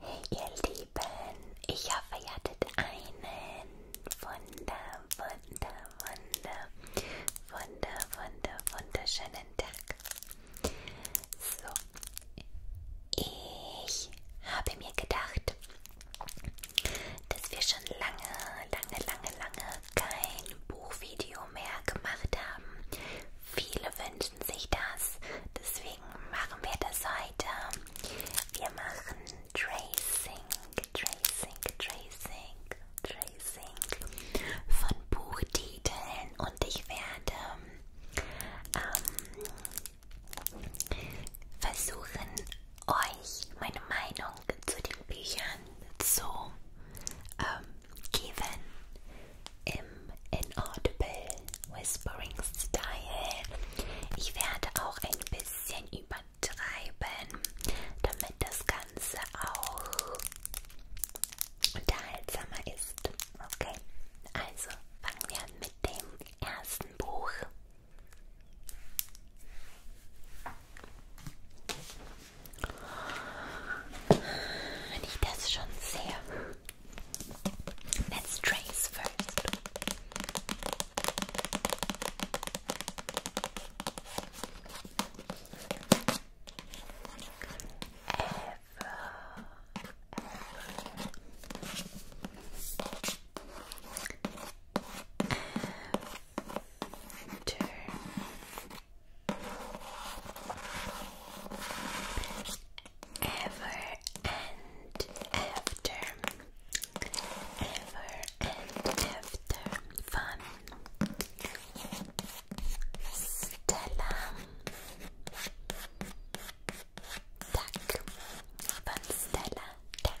Hey ihr Lieben, ich hoffe ihr hattet einen wunder, wunder, wunder, wunder, wunder, wunderschönen Tag. So, ich habe mir gedacht, dass wir schon lange, lange, lange, lange kein Buchvideo mehr gemacht haben. Viele Wünsche wünschen sich das. Deswegen machen wir das heute. Wir machen Tracing, Tracing, Tracing, Tracing von Buchtiteln und ich werde ähm, versuchen, euch meine Meinung zu den Büchern zu ähm, geben im Inaudible Whispering Style. Ich werde auch ein bisschen übertreiben, damit das Ganze auch unterhaltsamer ist. Okay, also fangen wir an mit dem ersten Buch. Wenn ich das schon sehe. Let's trace first. Ever, ever. After. Ever and after, ever and after fun. Stella, tack Stella, tack.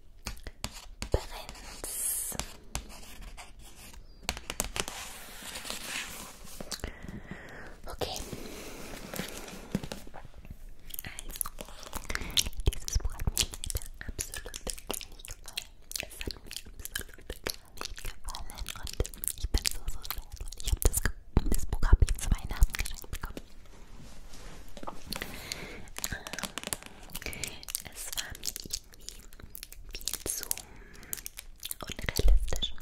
Prinz. Okay. Also, dieses Buch hat mir leider absolut nicht gefallen. Es hat mir absolut gar nicht gefallen und ich bin so, so stolz. Ich habe das, das Buch habe ich zu Weihnachten geschenkt bekommen. Ähm, es war mir irgendwie viel zu unrealistisch.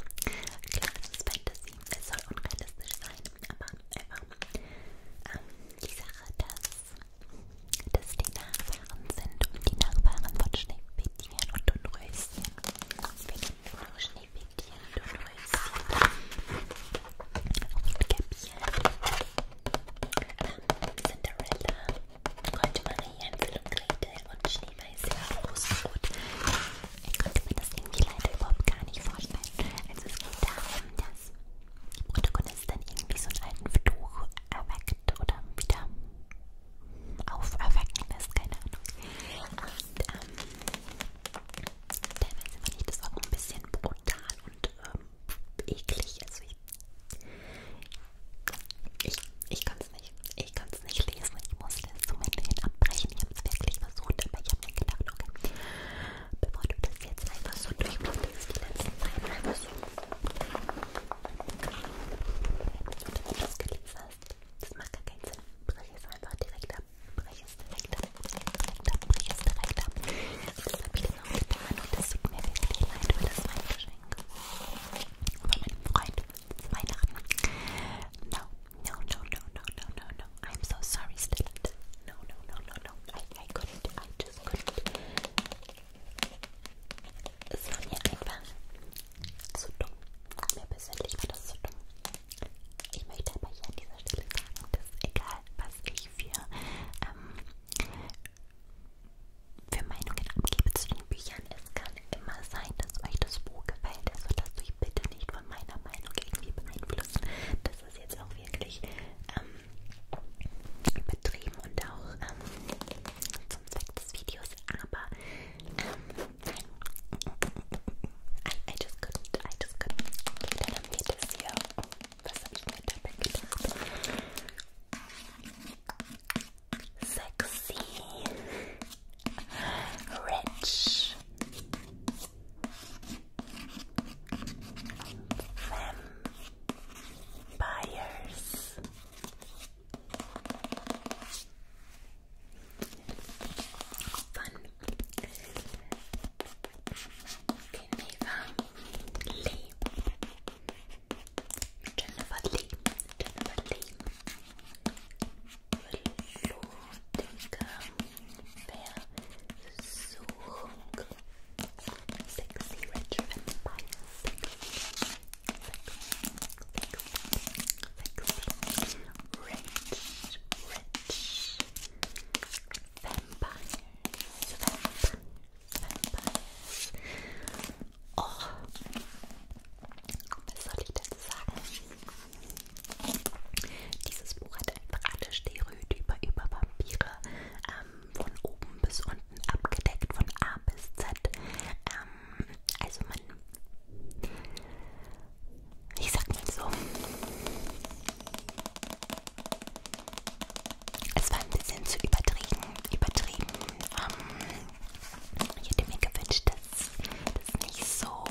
Klar, es ist Fantasy, es soll unrealistisch sein, aber einfach ähm, die Sache, dass, dass die Nachfahren sind und die Nachfahren von Schneefädchen und Dunröschen. Wir kennen nur noch Schneefädchen und Dunröschen. Und Käppchen. Ähm, Cinderella konnte man hier Hänsel und Gretel und Schneeweiß ja Rosenrot. Ich konnte mir das irgendwie leider überhaupt gar nicht vorstellen. Also es geht darum, dass die Protagonistin irgendwie so einen alten Fluch erweckt oder wieder auferwecken lässt, keine Ahnung. Und ähm, teilweise fand ich das auch ein bisschen brutal und ähm, eklig. Also ich ich, ich kann es nicht. Ich kann es nicht lesen. Ich musste es zum Ende hin abbrechen. Ich habe es wirklich versucht, aber ich habe mir gedacht, okay, bevor du das jetzt einfach so durchblätterst, die letzten Seiten einfach so. Und wenn du das gelesen hast, das macht gar keinen Sinn. Brech es einfach direkt ab. Brech es direkt ab. Brech es direkt ab. Brech es direkt ab. Jetzt habe ich diese Ortbahn und es tut mir wirklich leid für das Weihnachtsgeschenk. Über meinen Freund Weihnachten. No, no, no, no, no, no, no, no. I'm so sorry, Stellant. No, no, no, no, no. I, I couldn't. I just couldn't. Es war mir einfach zu dumm. Mir persönlich war das zu dumm. Ich möchte aber hier an dieser Stelle sagen, dass egal was ich für ähm, für Meinungen abgebe zu den Büchern. Es kann immer sein, dass euch das Buch gefällt. Also lasst euch bitte nicht von meiner Meinung irgendwie beeinflussen. Das ist jetzt auch wirklich ähm, betrieben und auch ähm, zum Zweck des Videos. Aber ähm, nein. I, I just couldn't, I just couldn't. Okay, dann haben wir das hier. Was habe ich mir dabei gedacht? sexy, rich, vampires. Fun. Geneva, Lee, Jennifer Lee, Jennifer Lee, Versuchung, Sexy Rich Vampire, Sexy, Sexy, Sexy, Rich, Rich Vampire. Vampires. Oh, was soll ich dazu sagen? Dieses Buch hat einfach alle Stereotype über Vampire ähm, von oben bis unten abgedeckt, von A bis Z. Ähm, also man, ich sag mal so, es war ein bisschen zu übertrieben, übertrieben. Ähm, ich hätte mir gewünscht, dass das nicht so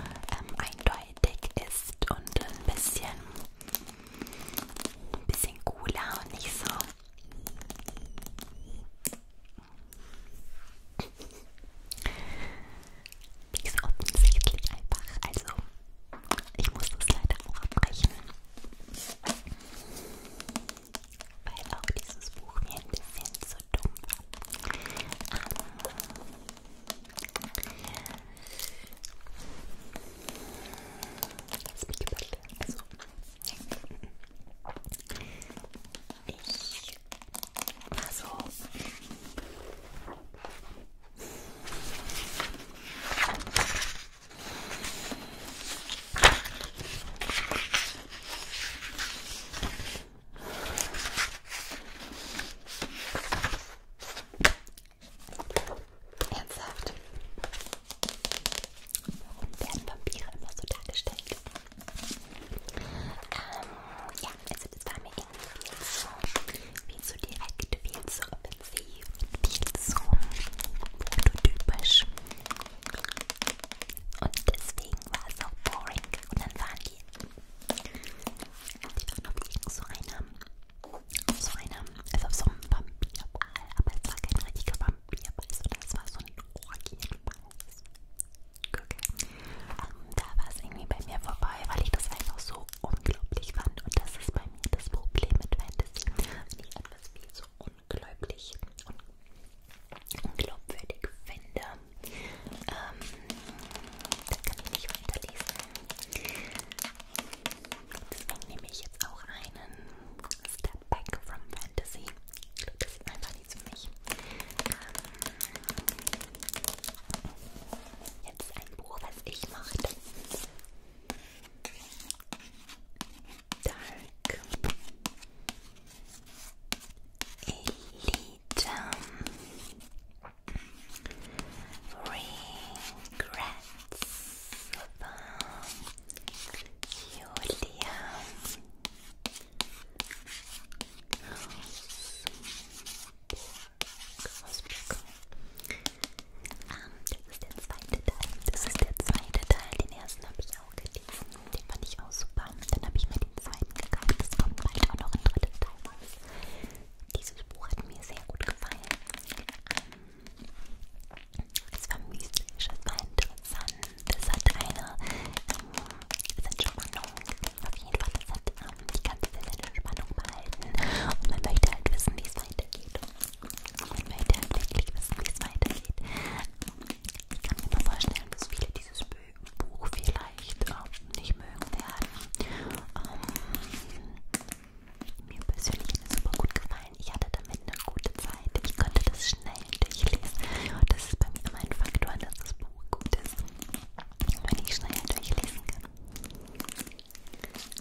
ähm, eindeutig ist und ein bisschen, ein bisschen cooler und nicht so. Nicht so offensichtlich einfach. Also, ich muss das leider auch abbrechen. Weil auch dieses Buch mir ein bisschen zu dumm war. Um, ah. lass mich überlegen. Also, ich war so. Ernsthaft? Warum werden Vampire immer so dargestellt? Ähm, ja, also das war mir irgendwie viel zu, viel zu direkt, viel zu wie viel zu prototypisch. Und deswegen war es auch boring. Und dann waren die, die waren auf irgend so einem, auf so einem, also auf so einem Vampirball, aber es war kein richtiger Vampirball, sondern es war so ein Orgienball. Okay. Ähm, da war es irgendwie bei mir vorbei, weil ich das einfach so unglaublich fand und das ist bei mir das Problem mit Fantasy, wenn ich etwas viel so unglaublich und unglaubwürdig finde, ähm, das kann ich nicht weiterlesen. Deswegen nehme ich jetzt auch einen Step Back from Fantasy. Das ist einfach nichts für mich. Ähm, jetzt ein Buch, was ich mochte. dark Elita regrets Julia Rose Auswirkungen. Ähm, das ist der zweite Teil. Das ist der zweite Teil. Den ersten habe ich auch gelesen. Den fand ich auch super. Dann habe ich mir den zweiten gekauft. Es kommt bald auch noch ein dritter Teil raus. Dieses Buch hat mir sehr gut gefallen. Ähm, es war mystisch, es war interessant. Es hat eine. Ähm, es hat schon Spannung. Auf jeden Fall, es hat die ganze Zeit in Spannung behalten und man möchte halt wissen, wie es weitergeht. Man möchte halt wirklich wissen, wie es weitergeht. Ich kann mir mal vorstellen, dass viele dieses Buch vielleicht äh, nicht mögen werden. Ähm, mir persönlich hat es super gut gefallen. Ich hatte damit eine gute Zeit. Ich konnte das schnell durchlesen. Und das ist bei mir immer ein Faktor, dass das Buch gut ist, wenn ich schnell durchlesen kann.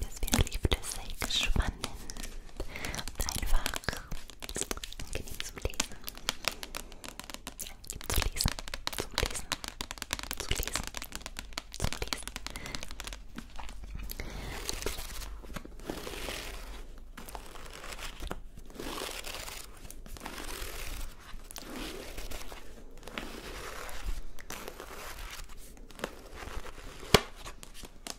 Das wird lieblich sehr spannend und einfach angenehm zum Lesen. Angenehm zu lesen, zum Lesen, zu lesen, zum Lesen.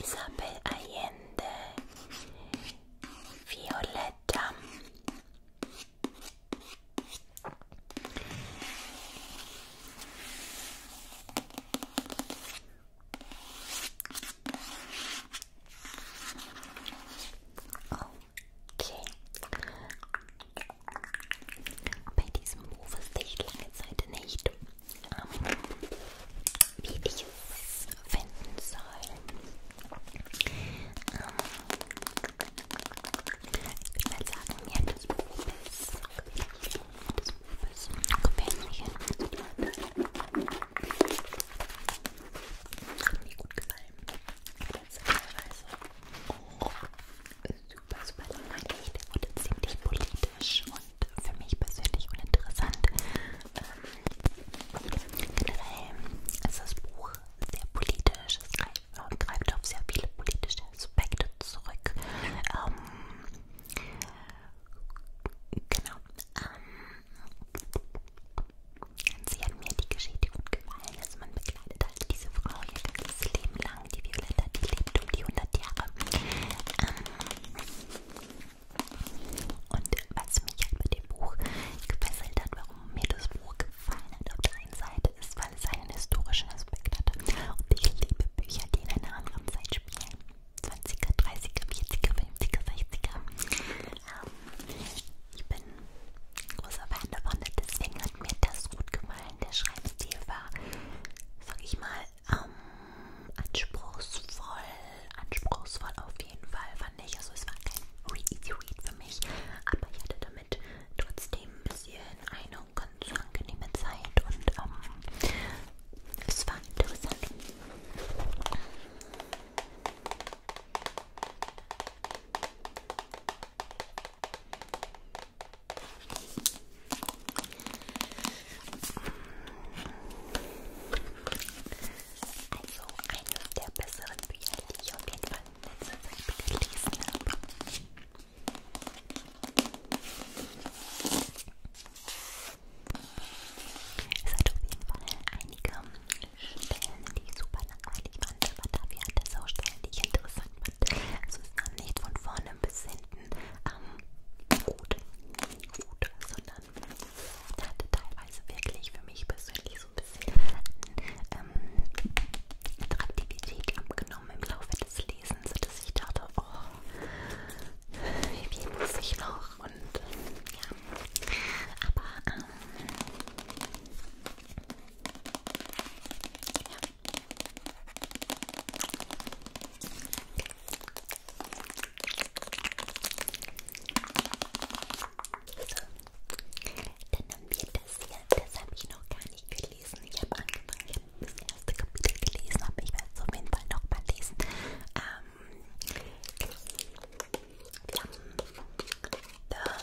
Isabel Allende, Violetta, Okay. Bei diesem Buch wusste ich lange Zeit nicht, wie ich es finden soll. Ich würde mal sagen, mir hat das Bubis, das Bubis, hat mir gut gefallen. Das ist teilweise oh, super, super langweilig. Der wurde ziemlich politisch und und für mich persönlich uninteressant. Ähm, generell ist das Buch sehr politisch, es greift, äh, greift auf sehr viele politische Aspekte zurück. Ähm, genau. Ähm, sie hat mir die Geschichte gut gefallen. Also man begleitet halt diese Frau ihr ganzes Leben lang, die Violetta, die lebt um die 100 Jahre. Ähm, und was mich halt mit dem Buch gefesselt hat, warum mir das Buch gefallen hat, auf der einen Seite ist, weil es einen historischen Aspekt hat. Und ich liebe Bücher, die in einer anderen Zeit spielen. 20er, 30er, 40er, 50er, 60er. Ich bin großer Fan davon, deswegen hat mir das gut gefallen. Der Schreibstil war, sag ich mal, ähm, anspruchsvoll, anspruchsvoll auf jeden Fall fand ich. Also es war kein easy read für mich, aber ich hatte damit trotzdem ein bisschen eine ganz angenehme Zeit und ähm, es war interessant. Also eines der besseren Bücher, die ich auf jeden Fall in letzter Zeit gelesen habe. Es hat auf jeden Fall einige Stellen, die super langweilig waren, aber dafür hat es auch Stellen, die ich interessant fand. Also es nahm nicht von vorne bis hin hinten am Hut, Hut sondern er hatte teilweise wirklich für mich persönlich so ein bisschen ähm, Attraktivität abgenommen im Laufe des Lesens, sodass ich dachte, oh, wie viel muss ich noch? Und ja, aber ähm, ja. Dann haben wir das hier, das habe ich noch gar nicht gelesen. Ich habe angefangen, ich habe das erste Kapitel gelesen, aber ich werde es auf jeden Fall noch mal lesen. Ähm, wir haben The Bell.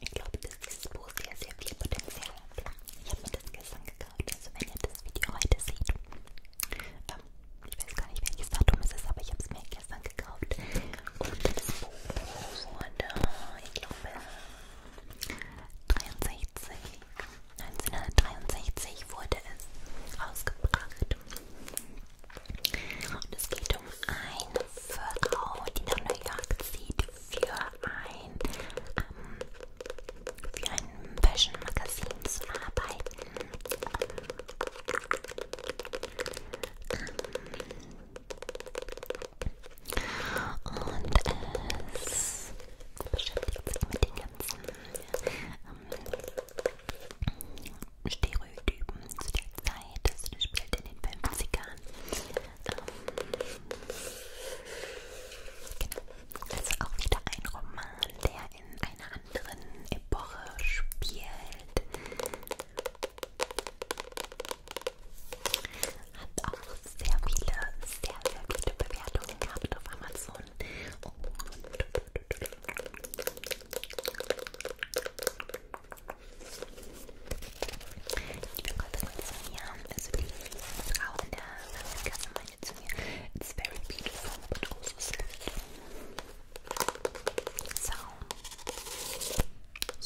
Ich glaube, dass dieses Buch sehr, sehr viel Potenzial hat. Ich habe mir das gestern gekauft, also wenn ihr das Video heute seht. Ähm, ich weiß gar nicht, welches Datum es ist, aber ich habe es mir gestern gekauft gutes Buch wurde, ich glaube, 63, 1963 wurde es rausgebracht. Und es geht um eine Frau, die nach New York zieht für ein, ähm, für ein Fashion-Magazin zu arbeiten. Ähm, und es beschäftigt sich mit den ganzen ähm, Stereotypen zu der Zeit. Also das spielt in den 50ern. Ähm, genau. Also auch wieder ein Roman, der in einer anderen Epoche spielt. Hat auch sehr viele, sehr, sehr viele Bewertungen gehabt auf Amazon. Und ich bin kurz zu mir, also die Frau in der Kasse meinte zu mir, it's very beautiful, but also sad. So,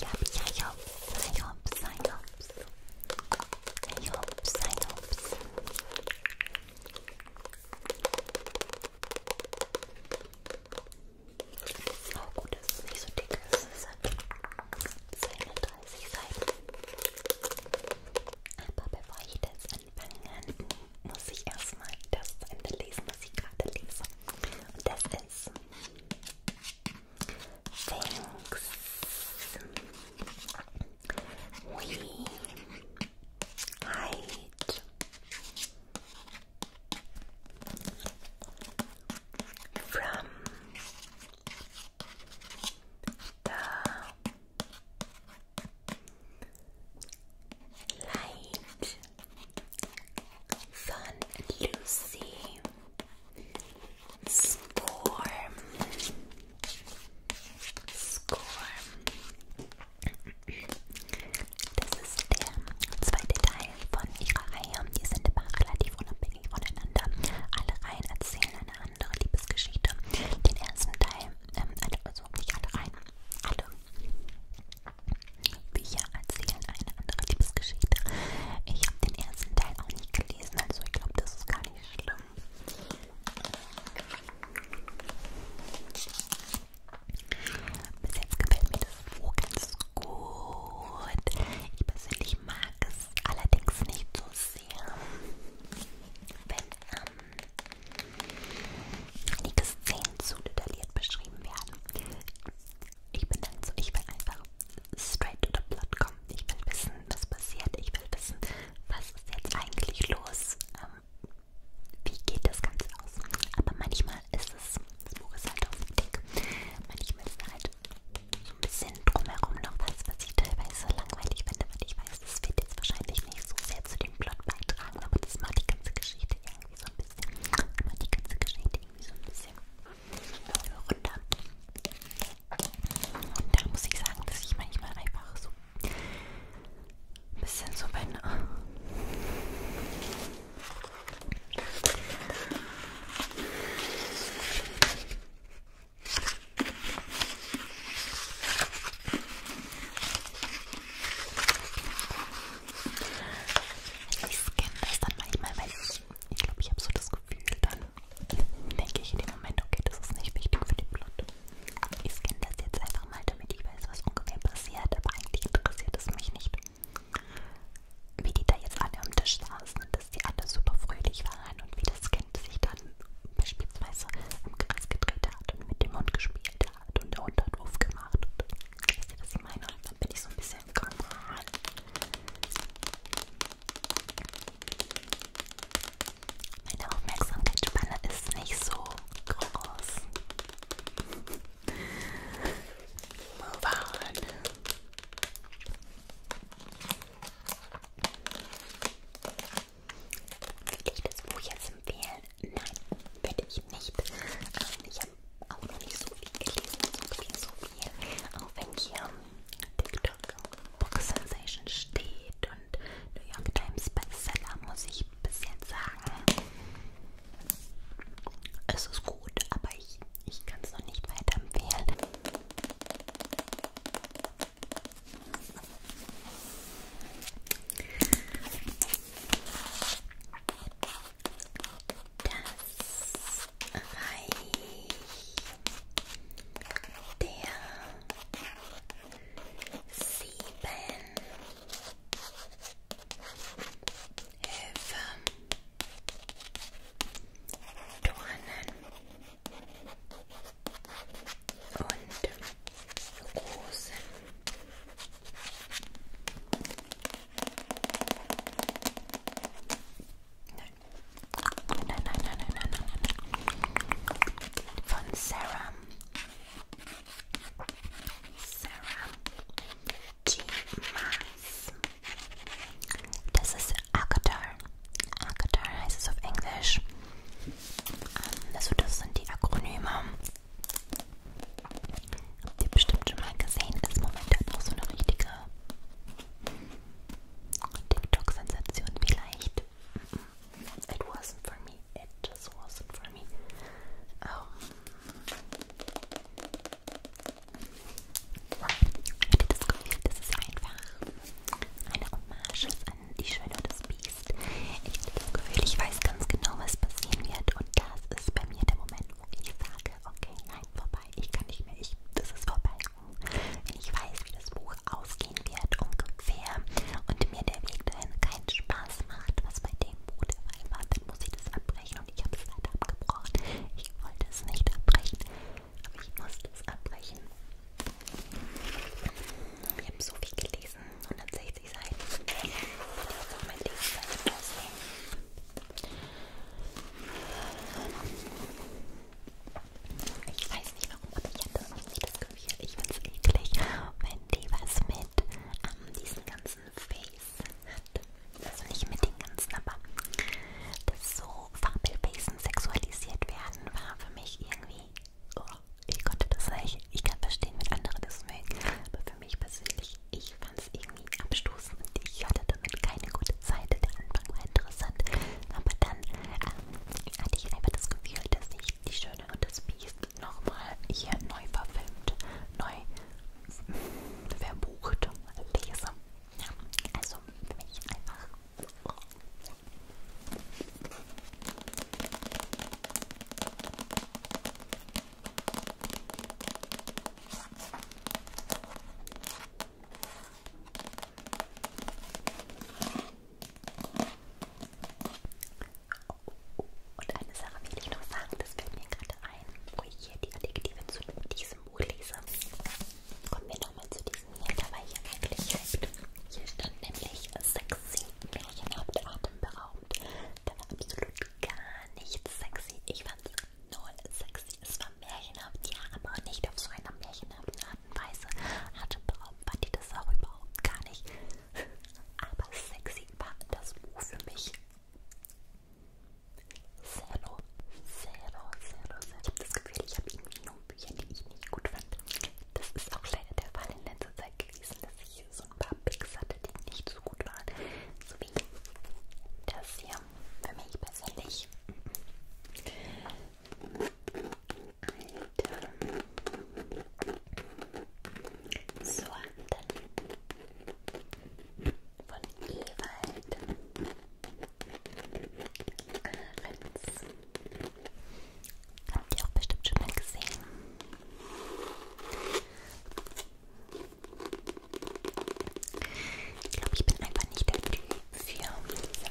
ja, ja, hops, I hops, I hops. I hops, I hops. Oh gut, dass es nicht so dick ist. Es hat 32 Seiten. Aber bevor ich das anfange, muss ich erstmal das zu Ende lesen, was ich gerade lese. Und das ist things we hide from the light. von Lucy Scorm. Scorm. Das ist der zweite Teil von ihrer Reihe. Die sind immer relativ unabhängig voneinander. Alle Reihen erzählen eine andere Liebesgeschichte. Den ersten Teil, ähm, also nicht alle Reihen, alle Bücher erzählen eine andere Liebesgeschichte. Ich habe den ersten Teil auch nicht gelesen, also ich glaube, das ist gar nicht schlimm. Bis jetzt gefällt mir das Buch ganz gut. Ich persönlich mag es allerdings nicht so sehr, wenn ähm, einige Szenen zu detailliert beschrieben werden. Ich bin dann so, ich will einfach straight to the plot kommen. Ich will wissen, was passiert. Ich will wissen, was ist jetzt eigentlich los. Ähm, wie geht das Ganze aus? Aber manchmal ist es, das Buch ist halt auf dem Dick, manchmal ist da halt so ein bisschen drumherum noch was, was ich teilweise langweilig finde, weil ich weiß, das wird jetzt wahrscheinlich nicht so sehr zu dem Plot beitragen, aber das macht die ganze Geschichte irgendwie so ein bisschen, macht die ganze Geschichte so ein bisschen runter. Und da muss ich sagen, dass ich manchmal einfach so ein bisschen so bin. Ich scanne das dann manchmal, weil ich, ich glaube, ich habe so das Gefühl, dann denke ich in dem Moment, okay, das ist nicht wichtig für den Plot. Ich scanne das jetzt einfach mal, damit ich weiß, was ungefähr passiert, aber eigentlich interessiert es mich nicht. Wie die da jetzt alle am Tisch saßen und dass die alle super fröhlich waren und wie das Kind sich dann beispielsweise im Kreis gedreht hat und mit dem Hund gespielt hat und der Hund hat Wurf gemacht. Und, weißt du, was ich meine? bin ich so ein bisschen krank. Meine Aufmerksamkeitsspanne ist nicht so groß. Move on. Welches Buch jetzt empfehlen? wollen? Nein, werde ich nicht. Ähm, ich habe auch noch nicht so viel gelesen, so viel, so viel. Auch wenn hier TikTok Book Sensation steht und New York Times Bestseller, muss ich bis jetzt sagen, es ist gut, aber ich, ich kann es noch nicht weiterempfehlen das Reich der sieben Höfe Dornen und Rosen Nein, nein, nein, nein, nein, nein, nein. Von Serum. Serum G Max. Das ist Agatar. Agatar heißt es auf Englisch. Ähm, also das sind die Akronyme. Habt ihr bestimmt schon mal gesehen, ist momentan halt auch so eine richtige TikTok-Sensation vielleicht. It wasn't for me. It just wasn't for me. Oh. Ähm. Hätte das Gefühl, das ist einfach eine Hommage an die Schöne und das Biest. Ich hätte das Gefühl, ich weiß ganz genau, was passieren wird und das das ist bei mir der Moment, wo ich sage, okay, nein, vorbei, ich kann nicht mehr, ich, das ist vorbei. Wenn ich weiß, wie das Buch ausgehen wird ungefähr und mir der Weg dahin keinen Spaß macht, was bei dem Buch der Fall war, dann muss ich das abbrechen und ich habe es leider abgebrochen. Ich wollte es nicht abbrechen, aber ich musste es abbrechen. Wir haben so viel gelesen diesen 160 Seiten, wie die auf meiner Lieblingsseite aussehen. Ich weiß nicht warum, aber ich hatte noch nie das Gefühl, ich finde es eklig, wenn die was mit ähm, diesen ganzen Face hat. Also nicht mit den ganzen, aber dass so Fabelwesen sexualisiert werden, war für mich irgendwie... Oh, ich konnte das nicht. Ich kann verstehen, wenn andere das mögen, aber für mich persönlich ich fand es irgendwie abstoßend und ich hatte damit keine gute Zeit. Der Anfang war interessant, aber dann ähm, hatte ich einfach das Gefühl, dass ich die Schöne und das Biest nochmal hier neu verfilmt, neu verbucht lese. Ja, also für mich einfach. Oh, und eine Sache will ich noch sagen, das fällt mir gerade ein, wo ich hier die Adjektive zu diesem Buch lese. Kommen wir nochmal zu diesem hier, da war ich ja wirklich hyped. Hier stand nämlich sexy, märchenhaft, atemberaubend, der war absolut gar nicht sexy. Ich fand's null sexy. Es war märchenhaft, ja, aber nicht auf so einer märchenhaften Art und Weise. Hatte fand ich das auch überhaupt gar nicht. Aber sexy war das Buch für mich. Zero, zero, zero, zero. Ich habe das Gefühl, ich habe irgendwie nur Bücher, die ich nicht gut fand. Das ist auch leider der Fall in letzter Zeit gewesen, dass ich ich so ein paar Picks hatte, die nicht so gut waren. So wie das hier. Für mich persönlich. Alter. So, dann von Ewald. Ahrens. Habt ihr auch bestimmt schon mal gesehen. Ich glaube, ich bin einfach nicht der Typ für diese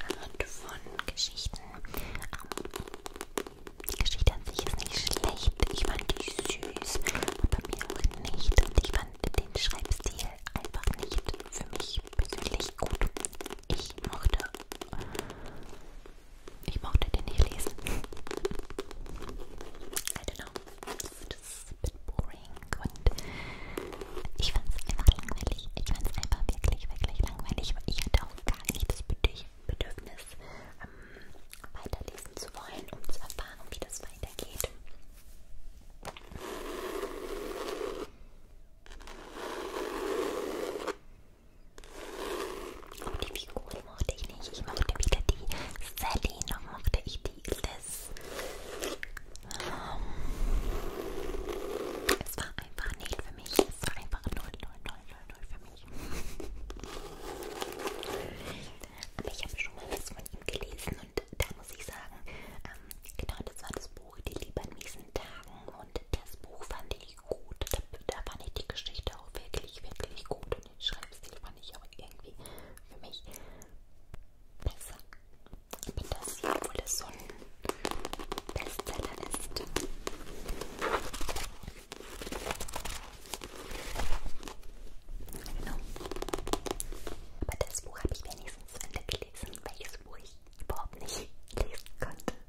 Art von Geschichten. Um, ähm, die Geschichte an sich ist nicht schlecht. Ich fand die süß, aber mir auch nicht. Und ich fand den Schreibstil einfach nicht für mich persönlich gut. Ich mochte ich mochte den nicht lesen. I don't know. Das ist ein bisschen boring und ich fand es einfach langweilig. Ich fand es einfach wirklich, wirklich langweilig. Aber ich hatte auch gar nicht das Bedürfnis, ähm, weiterlesen zu wollen, um zu erfahren, wie das weitergeht. Aber die Figuren mochte ich nicht. Ich mochte wieder die Sally, noch mochte ich die Liz. Um, ähm, es war einfach nicht für mich. Es war einfach 0, 0, 0, 0, 0 für mich. Aber ich habe schon mal was von ihm gelesen und da muss ich sagen, ähm, genau das war das Buch Die Liebe an miesen Tagen und das Buch fand ich wirklich gut. Da, da fand ich die Geschichte auch wirklich, wirklich gut. Und den Schreibstil fand ich aber irgendwie für mich besser. Aber das, obwohl das so ein Bestseller ist. Genau. Aber das Buch habe ich wenigstens zu Ende gelesen, welches Buch ich überhaupt nicht lesen konnte.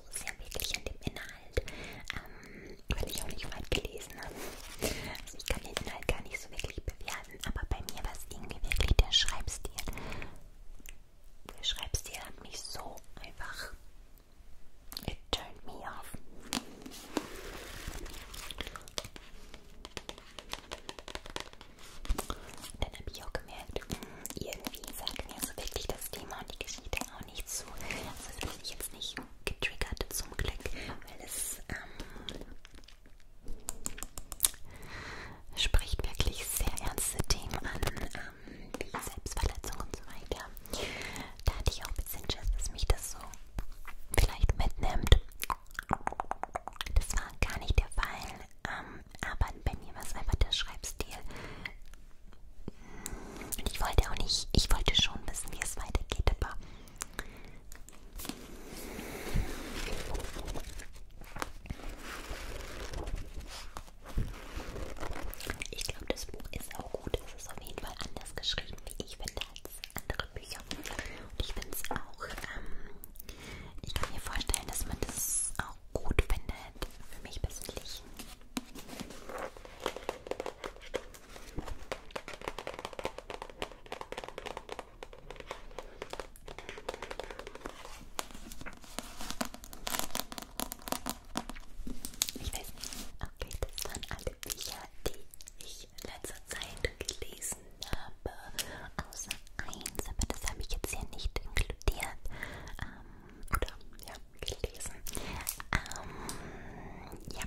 so sehr wirklich an dem Inhalt, ähm, weil ich auch nicht weit gelesen habe. Also ich kann den Inhalt gar nicht so wirklich bewerten, aber bei mir war es irgendwie wirklich der Schreibstil. Der Schreibstil hat mich so einfach. It turned me off. Und dann habe ich auch gemerkt, irgendwie sagt mir so wirklich das Thema und die Geschichte auch auch nicht so, also fühle ich jetzt nicht getriggert zum Glück, weil es ähm, spricht wirklich sehr ernste Themen an, ähm, wie Selbstverletzung und so weiter. Da hatte ich auch ein bisschen Schiss, dass mich das so vielleicht mitnimmt. Das war gar nicht der Fall, ähm, aber bei mir war es einfach der Schreibstil und ich wollte auch nicht, ich wollte schon wissen, wie es weitergeht, aber ich glaube, das Buch ist auch gut. Es ist auf jeden Fall anders geschrieben, wie ich finde, als andere Bücher. Und ich finde es auch, ähm, ich kann mir vorstellen, dass man das auch gut findet. Für mich persönlich ich weiß nicht, okay, das waren alle Bücher, die ich in letzter Zeit gelesen habe, außer eins, aber das habe ich jetzt hier nicht inkludiert. Ähm, oder ja, gelesen. Ähm, ja.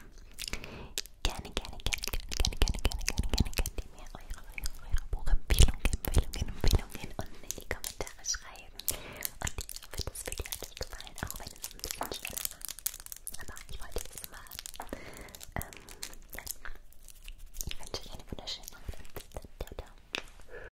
Gerne, gerne, gerne, gerne, gerne, gerne, gerne, gerne könnt ihr mir eure, eure, eure Buchempfehlungen, Empfehlungen, Empfehlungen unten in die Kommentare schreiben. Und ich hoffe, das Video hat euch gefallen, auch wenn es ein bisschen schneller war. Aber ich wollte es machen. Ähm, ja. Ich wünsche euch eine wunderschöne Nacht. Ciao, ciao.